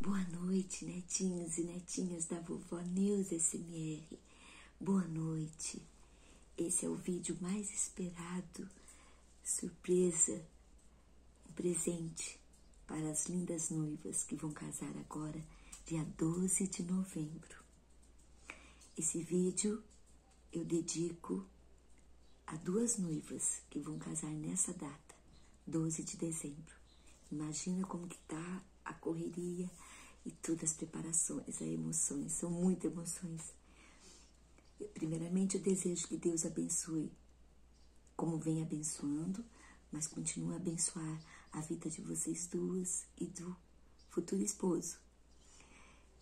Boa noite, netinhos e netinhas da Vovó News SMR. Boa noite. Esse é o vídeo mais esperado, surpresa, um presente para as lindas noivas que vão casar agora, dia 12 de novembro. Esse vídeo eu dedico a duas noivas que vão casar nessa data. 12 de dezembro. Imagina como que tá a correria e todas as preparações, as emoções, são muitas emoções. Primeiramente, eu desejo que Deus abençoe, como vem abençoando, mas continue a abençoar a vida de vocês duas e do futuro esposo.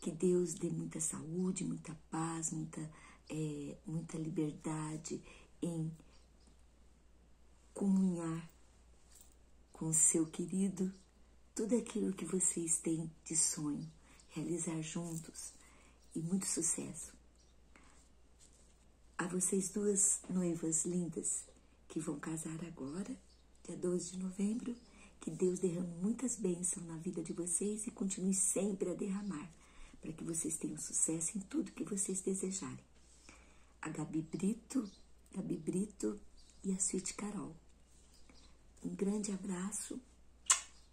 Que Deus dê muita saúde, muita paz, muita, eh, muita liberdade em comunhar com o seu querido tudo aquilo que vocês têm de sonho, realizar juntos e muito sucesso. A vocês duas noivas lindas que vão casar agora, dia 12 de novembro, que Deus derrame muitas bênçãos na vida de vocês e continue sempre a derramar para que vocês tenham sucesso em tudo que vocês desejarem. A Gabi Brito, Gabi Brito e a Suíte Carol. Um grande abraço,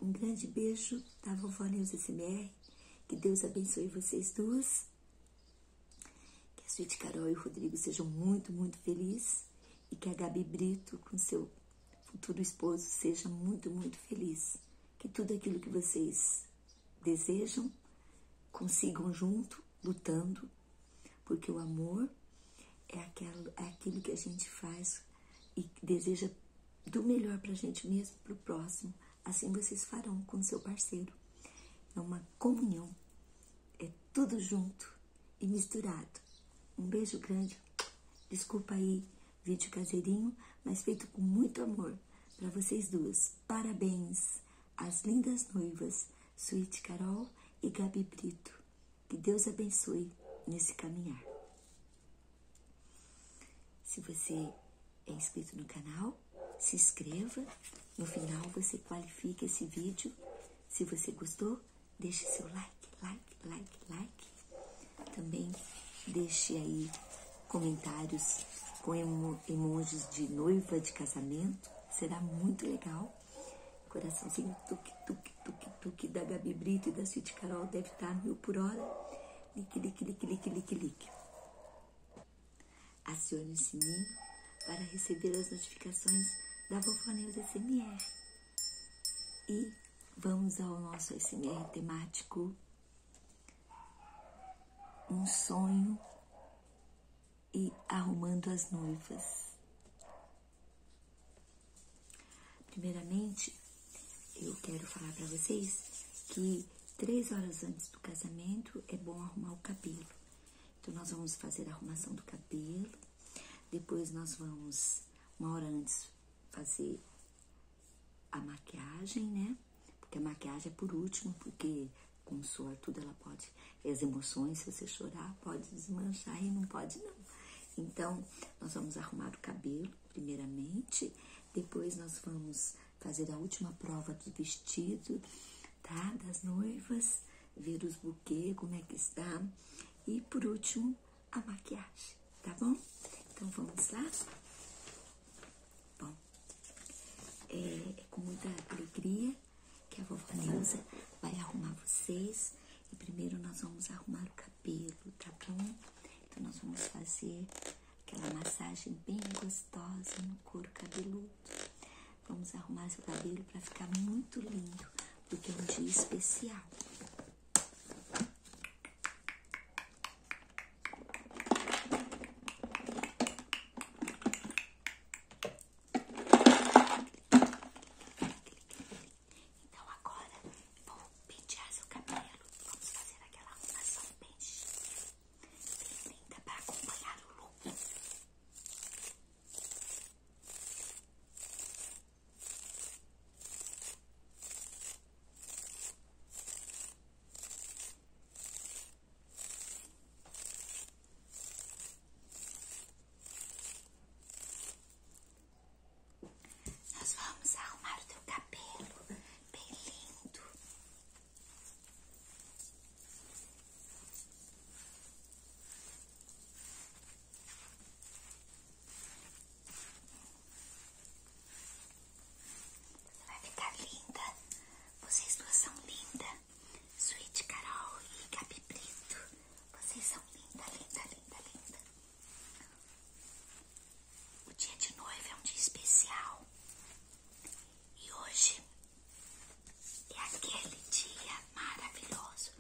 um grande beijo da vovó Neuza SMR. Que Deus abençoe vocês duas. Que a Suíte Carol e o Rodrigo sejam muito, muito felizes. E que a Gabi Brito, com seu futuro esposo, seja muito, muito feliz que tudo aquilo que vocês desejam consigam junto, lutando, porque o amor é aquilo, é aquilo que a gente faz e deseja do melhor para a gente mesmo, para o próximo. Assim vocês farão com o seu parceiro. É uma comunhão, é tudo junto e misturado. Um beijo grande. Desculpa aí Vídeo caseirinho, mas feito com muito amor para vocês duas. Parabéns às lindas noivas, Suíte Carol e Gabi Brito. Que Deus abençoe nesse caminhar. Se você é inscrito no canal, se inscreva. No final você qualifica esse vídeo. Se você gostou, deixe seu like, like, like, like. Também deixe aí comentários com emojis de noiva de casamento. Será muito legal. Coraçãozinho tuk tuk tuk tuk da Gabi Brito e da Cid Carol deve estar mil por hora. Lique, lique, lique, lique, lique, lique. Acione o sininho para receber as notificações da Vovó Neus SMR. E vamos ao nosso SMR temático um sonho e arrumando as noivas. Primeiramente, eu quero falar para vocês que três horas antes do casamento é bom arrumar o cabelo. Então, nós vamos fazer a arrumação do cabelo, depois nós vamos, uma hora antes, fazer a maquiagem, né? Porque a maquiagem é por último, porque com tudo ela pode, as emoções, se você chorar, pode desmanchar e não pode não. Então, nós vamos arrumar o cabelo, primeiramente, depois nós vamos fazer a última prova do vestido, tá? Das noivas, ver os buquês, como é que está. E por último, a maquiagem, tá bom? Então vamos lá? Bom, é, é, com muita alegria que a vovó Neuza vai arrumar vocês. E primeiro nós vamos arrumar o cabelo, tá bom? Então nós vamos fazer aquela massagem bem gostosa no couro cabeludo. Vamos arrumar seu cabelo para ficar muito lindo, porque é um dia especial. Então agora vou pentear seu cabelo. Vamos fazer aquela arrumação bem chique, bem para acompanhar o look. Nós vamos arrumar o teu cabelo bem lindo. Você vai ficar linda. Vocês duas são lindas. Sweet Carol e Gabi Brito. Vocês são linda, linda, linda, linda. O dia de noiva é um dia especial. E hoje é aquele dia maravilhoso.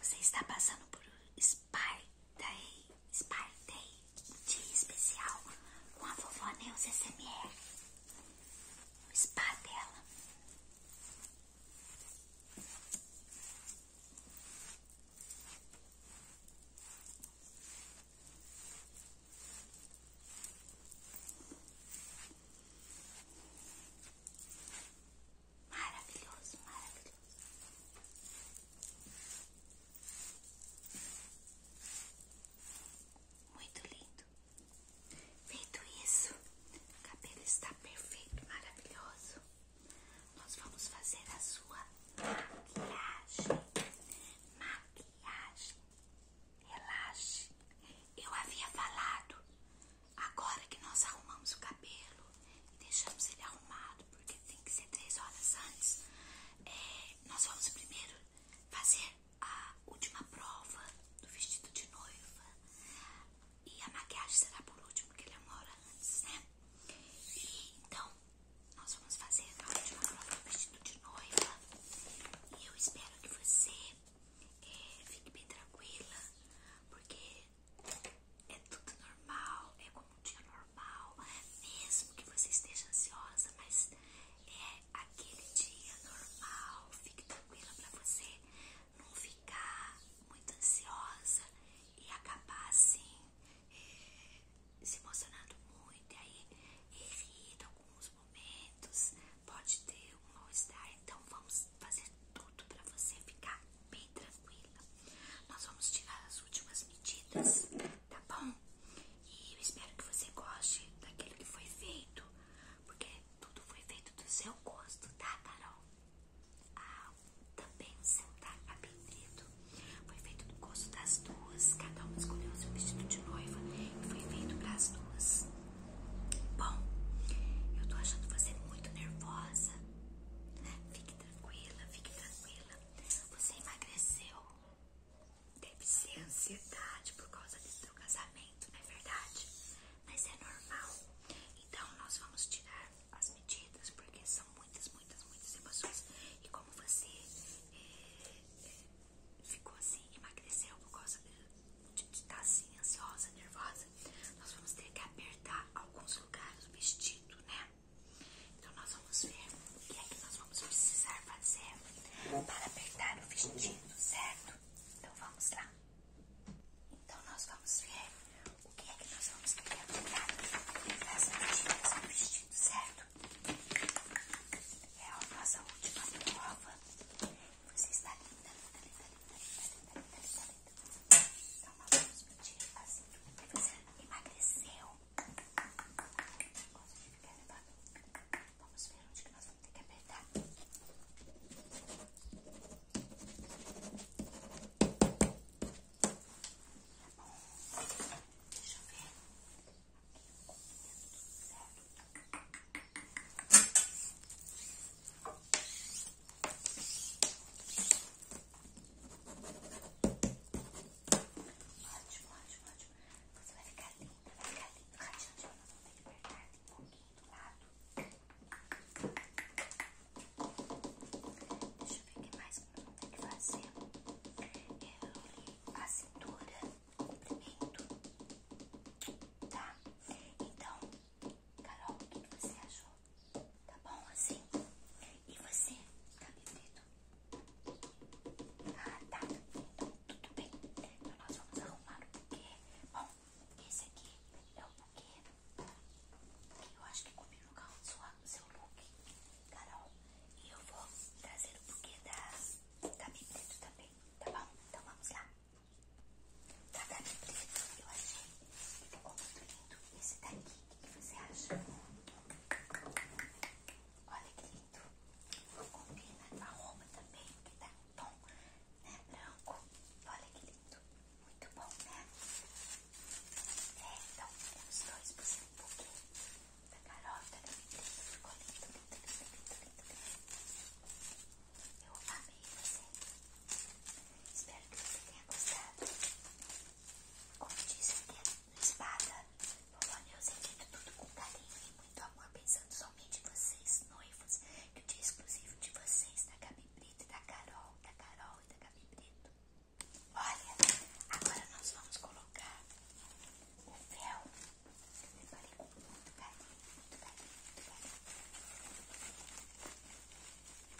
Você está passando por um spa daí, Spy dia especial com a vovó Neuza SMR. O spa Maravilhoso, maravilhoso. Muito lindo. Feito isso, o cabelo está perfeito, maravilhoso. Nós vamos fazer a sua maquiagem. Maquiagem. Relaxe. Eu havia falado. Agora que nós arrumamos o cabelo, e deixamos ele arrumado, porque tem que ser três horas antes, é, nós vamos primeiro fazer a última prova do vestido de noiva e a maquiagem será por último, porque ele é uma hora antes, né? então, nós vamos fazer a última prova do vestido de noiva e eu espero que você é, fique bem tranquila, porque é tudo normal, é como um dia normal, mesmo que você esteja ansiosa, mas é aquele dia normal, fique tranquila para você não ficar muito ansiosa e acabar assim eh, se emocionando muito, e aí irrita alguns momentos, pode ter um mal-estar, então vamos fazer tudo para você ficar bem tranquila. Nós vamos tirar as últimas medidas, tá bom? E eu espero que você goste daquilo que foi feito, porque tudo foi feito do seu gosto, tá, Carol? Ah, também sentar seu tá, tá? foi feito do gosto das duas. Cada uma escolheu seu vestido de noiva e foi feito para as duas. Bom, eu tô achando você muito nervosa. Fique tranquila, fique tranquila você emagreceu. Deve ser ansiedade por causa do seu casamento, não é verdade? Mas é normal. Então, nós vamos tirar as medidas, porque são muitas, muitas, muitas emoções. E como você eh, eh, ficou assim, emagreceu por causa de estar tá assim, ansiosa, nervosa, nós vamos ter que apertar alguns lugares do vestido, né? Então nós vamos ver o que é que nós vamos precisar fazer para apertar o vestido, certo? Então vamos lá. Então nós vamos ver o que é que nós vamos ter para apertar nas medidas do vestido, certo? É a nossa última prova. Você está linda, linda, linda, linda, linda, linda, linda, linda, então, uma luz que eu tirei assim. Você emagreceu. Gosto ficar levando. Vamos ver onde nós vamos ter que apertar. Tá bom. Deixa eu ver. Aqui, certo. Ótimo, ótimo, ótimo. Você vai ficar linda, vai ficar linda. Radiante, nós vamos ter que apertar um pouquinho do lado. Deixa eu ver o que mais que nós vamos ter que fazer. Eu a cintura, comprimento, tá? Então, Carol, o que você achou? Tá bom assim? E você? Tá livreto? Ah, tá. Então, tudo bem. Então, nós vamos arrumar o buquê. Bom, esse aqui é o buquê que eu acho que no carro do seu look, Carol. E eu vou trazer o buquê da, da Bibreto também, tá bom? Então, vamos lá. Tá, da Gabi Preto, eu achei que ficou muito lindo esse daqui. O que você acha? Olha que lindo. Combina com a roupa também, que dá tá um tom né, branco. Olha que lindo. Muito bom, né? É, então, temos dois por cento do Da garota, né? Ficou lindo, lindo, lindo, lindo, lindo. Eu amei você. Espero que você tenha gostado. Como disse, eu tenho espada. Polônia, eu sempre tá tudo com carinho e muito amor, pensando somente em vocês, noivos. Que o dia é exclusivo de vocês, da Gabi Brito e da Carol, da Carol e da Gabi Brito. Olha, agora nós vamos colocar o véu. Eu preparei com muito carinho, muito carinho, muito carinho.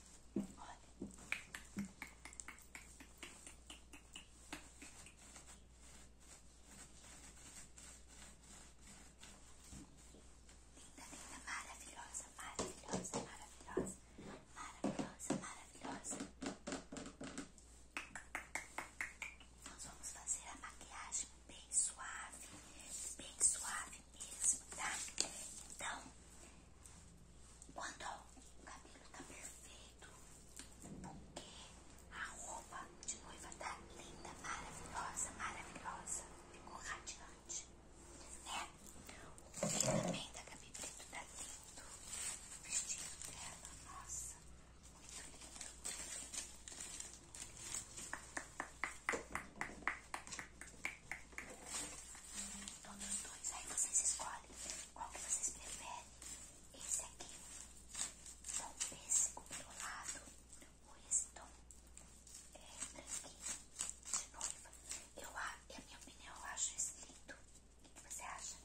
Olha. Linda, linda, maravilhosa, maravilhosa, maravilhosa, maravilhosa, maravilhosa. Nós vamos fazer a maquiagem bem suave, bem suave mesmo, tá? Então, quando o cabelo tá perfeito, porque a roupa de noiva tá linda, maravilhosa, maravilhosa, ficou radiante, né? O que também da Gabi Preto tá lindo, o vestido dela, nossa, Muito lindo. Todos dois, aí vocês escolhem qual que vocês preferem. Esse aqui, esse pêssego dourado, ou esse tom é, branquinho de noiva. Eu, a minha opinião, eu acho esse lindo. O que você acha?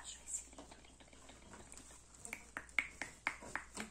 Acho esse lindo, lindo, lindo, lindo, lindo.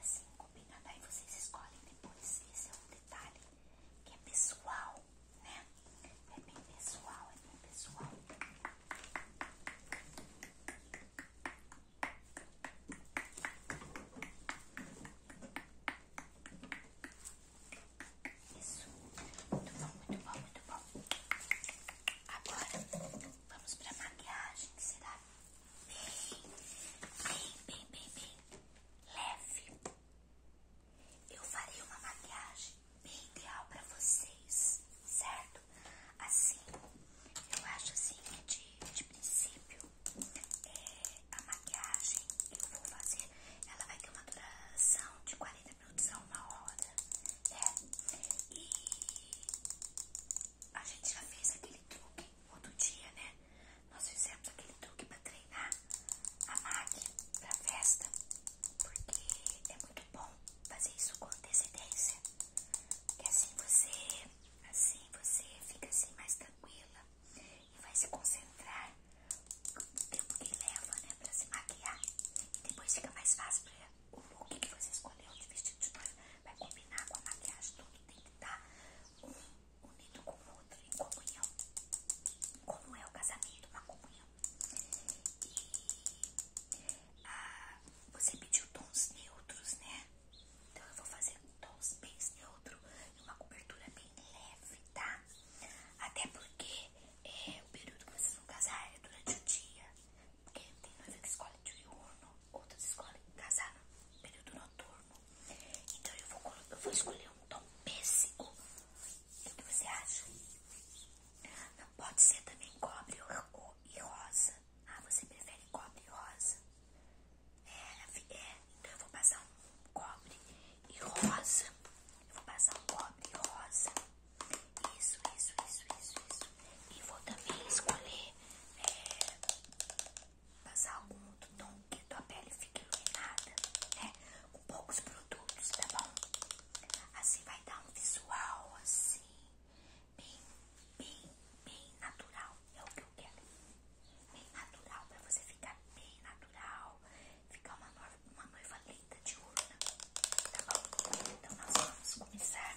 assim combinada. Aí vocês escolhem depois. Esse é um detalhe que é pessoal, né? É bem pessoal, é bem pessoal. Isso, muito bom, muito bom, muito bom. Agora vamos para maquiagem será bem, bem, bem, bem leve. Eu farei uma maquiagem bem ideal para vocês, certo? Assim, eu acho assim que de, de princípio é, a maquiagem que eu vou fazer, ela vai ter uma duração de 40 minutos a uma hora, né? E a gente já fez aquele truque outro dia, né? Nós fizemos aquele truque pra treinar a MAC pra festa, porque é muito bom fazer isso com antecedência, porque assim você, assim você fica assim mais tranquila e vai se concentrar no tempo que leva, né, pra se maquiar e depois fica mais fácil pra o look que você escolheu de vestido tipo, de noiva vai combinar com a maquiagem, tudo tem que dar um unido com o outro em comunhão, como é o casamento, uma comunhão. E ah, você pediu tons neutros, né? Então eu vou fazer tons bem neutros e uma cobertura bem leve, tá? Até porque é, o período que vocês vão casar é durante o dia, porque tem noiva que escolhe diurno outras escolhem casar no período noturno. Então eu vou, eu vou escolher um tom pêssego. O que você acha? Não pode ser também cobre e rosa. Ah, você prefere cobre e rosa? É, é, então eu vou passar um cobre e rosa. Eu vou passar um cobre e rosa. Isso, isso, isso, isso, E vou também escolher é, passar algum outro tom que a tua pele fique iluminada, né? Com poucos produtos, tá bom? Assim vai dar um visual assim, bem, bem, bem natural. É o que eu quero. Bem natural, pra você ficar bem natural. Ficar uma noiva, uma noiva linda, diurna, tá bom? Então nós vamos começar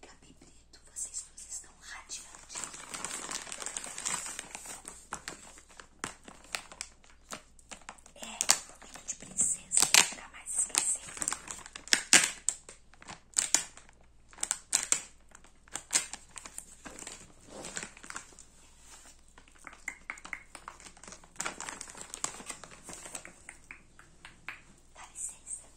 Gabi vocês duas estão radiantes. É, momento de princesa, nunca mais esquecer. Dá licença.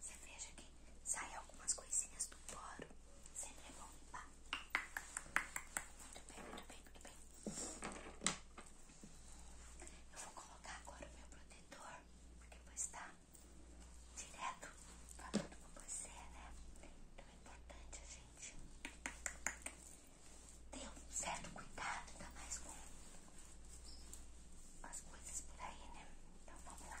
Você veja que sai algumas coisinhas do poro. Sempre é bom limpar. Tá? Muito bem, muito bem, muito bem. Eu vou colocar agora o meu protetor, porque vou estar tá direto falando com você, né? Então é importante gente Deu certo cuidado, ainda mais com as coisas por aí, né? Então vamos lá.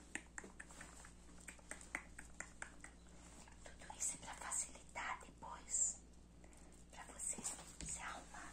Tudo isso é pra facilitar depois pra vocês se arrumar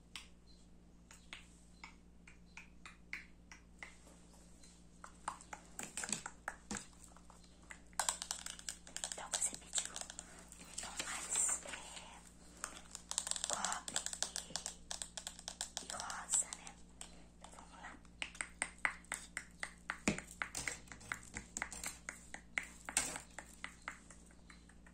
Então você pediu mais é, cobre e, rosa, né? Então, vamos lá.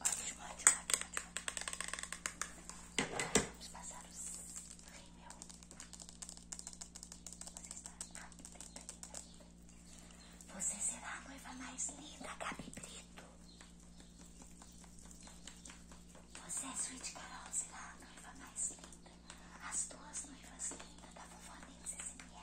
Ótimo, ótimo, Vamos passar o rímel. Você Você será a noiva mais linda, Gabi você é Sweet Carol, será tá a noiva mais linda. As duas noivas lindas da vovó Neus SMR.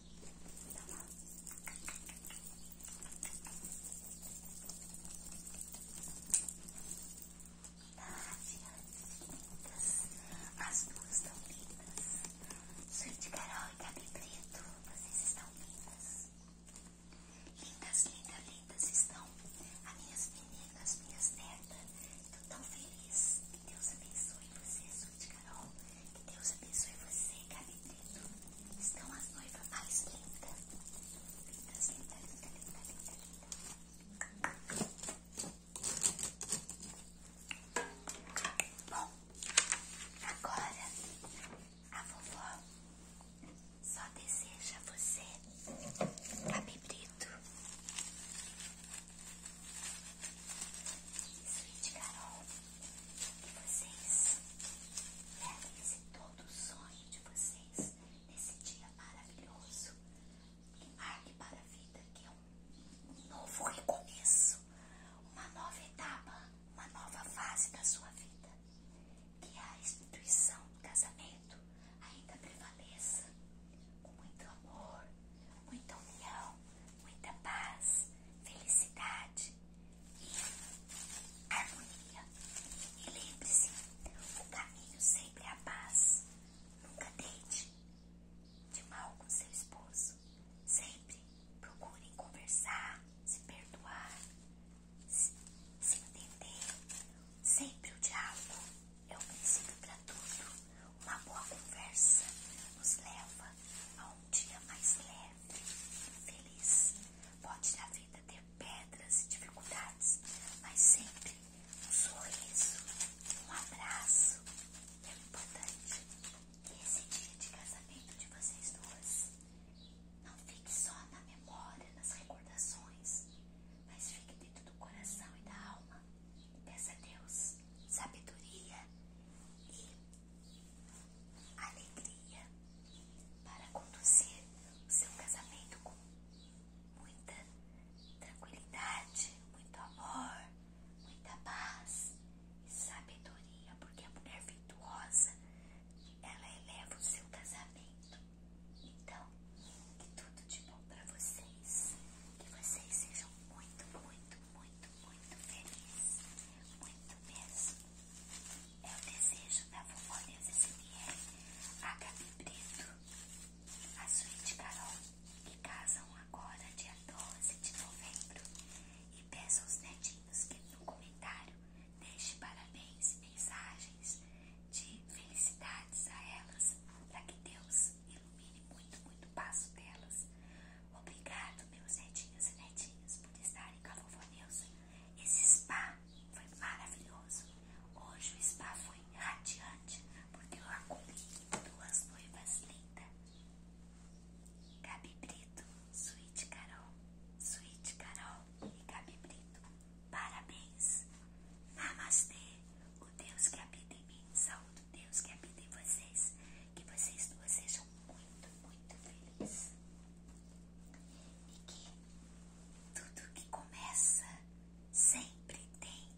lindas, As duas estão lindas. Suíte Carol e Gabi Preto, vocês estão lindas. Lindas, lindas, lindas estão as minhas meninas, minhas netas. Estou tão feliz. Que Deus abençoe você, Suíte Carol. Que Deus abençoe você, cabeteiro. Estão as noivas mais lindas. Lindas, lindas, lindas, lindas, lindas, lindas. Bom, agora a vovó só deseja você, cabebrito. Sweet Carol que vocês levem esse todo o sonho de vocês nesse dia maravilhoso e marque para a vida que um novo recomeço, uma nova etapa, uma nova fase da sua vida. Que a instituição do casamento ainda prevaleça com muito amor, muita união, muita paz, felicidade harmonia. E lembre-se, o caminho sempre é a paz. Nunca deite de mal com seu esposo. Sempre procure conversar, se perdoar, se, se entender. Sempre o diálogo é o princípio para tudo. Uma boa conversa nos leva a um dia mais leve feliz. Pode dar vida ter pedras e dificuldades, mas sempre um sorriso, um abraço é importante. E esse é dia de casamento de vocês duas não fique só na memória, nas recordações, mas fique dentro do coração e da alma. Peça a Deus sabedoria e alegria para conduzir o seu casamento com muita tranquilidade, muito amor, muita paz e sabedoria, porque a mulher virtuosa ela eleva o seu casamento. Então, que tudo de bom para vocês, que vocês sejam muito, muito muito, muito, feliz. Muito mesmo. É o desejo da vovó Deus SMR, a Gabi Brito, a suíte Carol, que casam agora dia 12 de novembro. E peço aos netinhos que no comentário deixe parabéns, mensagens de felicidades a elas, para que Deus ilumine muito, muito o passo delas. Obrigado, meus netinhos e netinhas por estarem com a vovó Neuza. Esse spa foi maravilhoso. Hoje o spa foi radiante, porque eu acolhi duas noivas lindas. Gabi Brito, Suíte Carol, Suíte Carol e Gabi Brito. Parabéns. Namastê. O Deus que habita em mim, saúde o Deus que habita em vocês. Que vocês duas sejam muito, muito felizes. E que tudo que começa sempre tem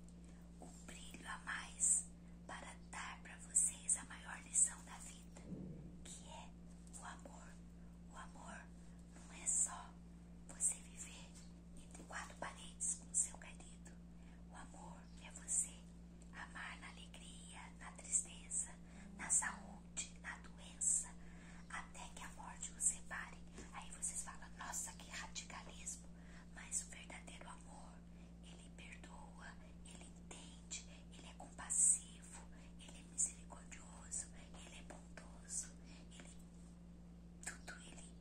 um brilho a mais para dar para vocês a maior lição da vida, que é o amor. O amor não é só você viver entre quatro paredes com o seu querido. O amor é você amar na alegria, na tristeza, na saúde, na doença, até que a morte os separe. Aí vocês falam, nossa, que radicalismo! Mas o verdadeiro amor, ele perdoa, ele entende, ele é compassivo, ele é misericordioso, ele é bondoso, ele tudo ele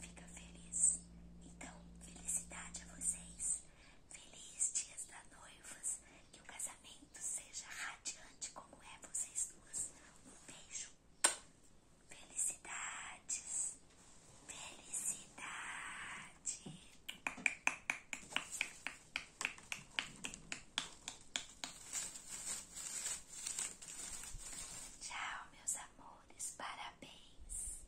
fica feliz. Então, felicidade a vocês. Feliz dias noivas, que o casamento seja radiante como é vocês duas. Um beijo. Felicidades. Felicidade. Tchau, meus amores. Parabéns.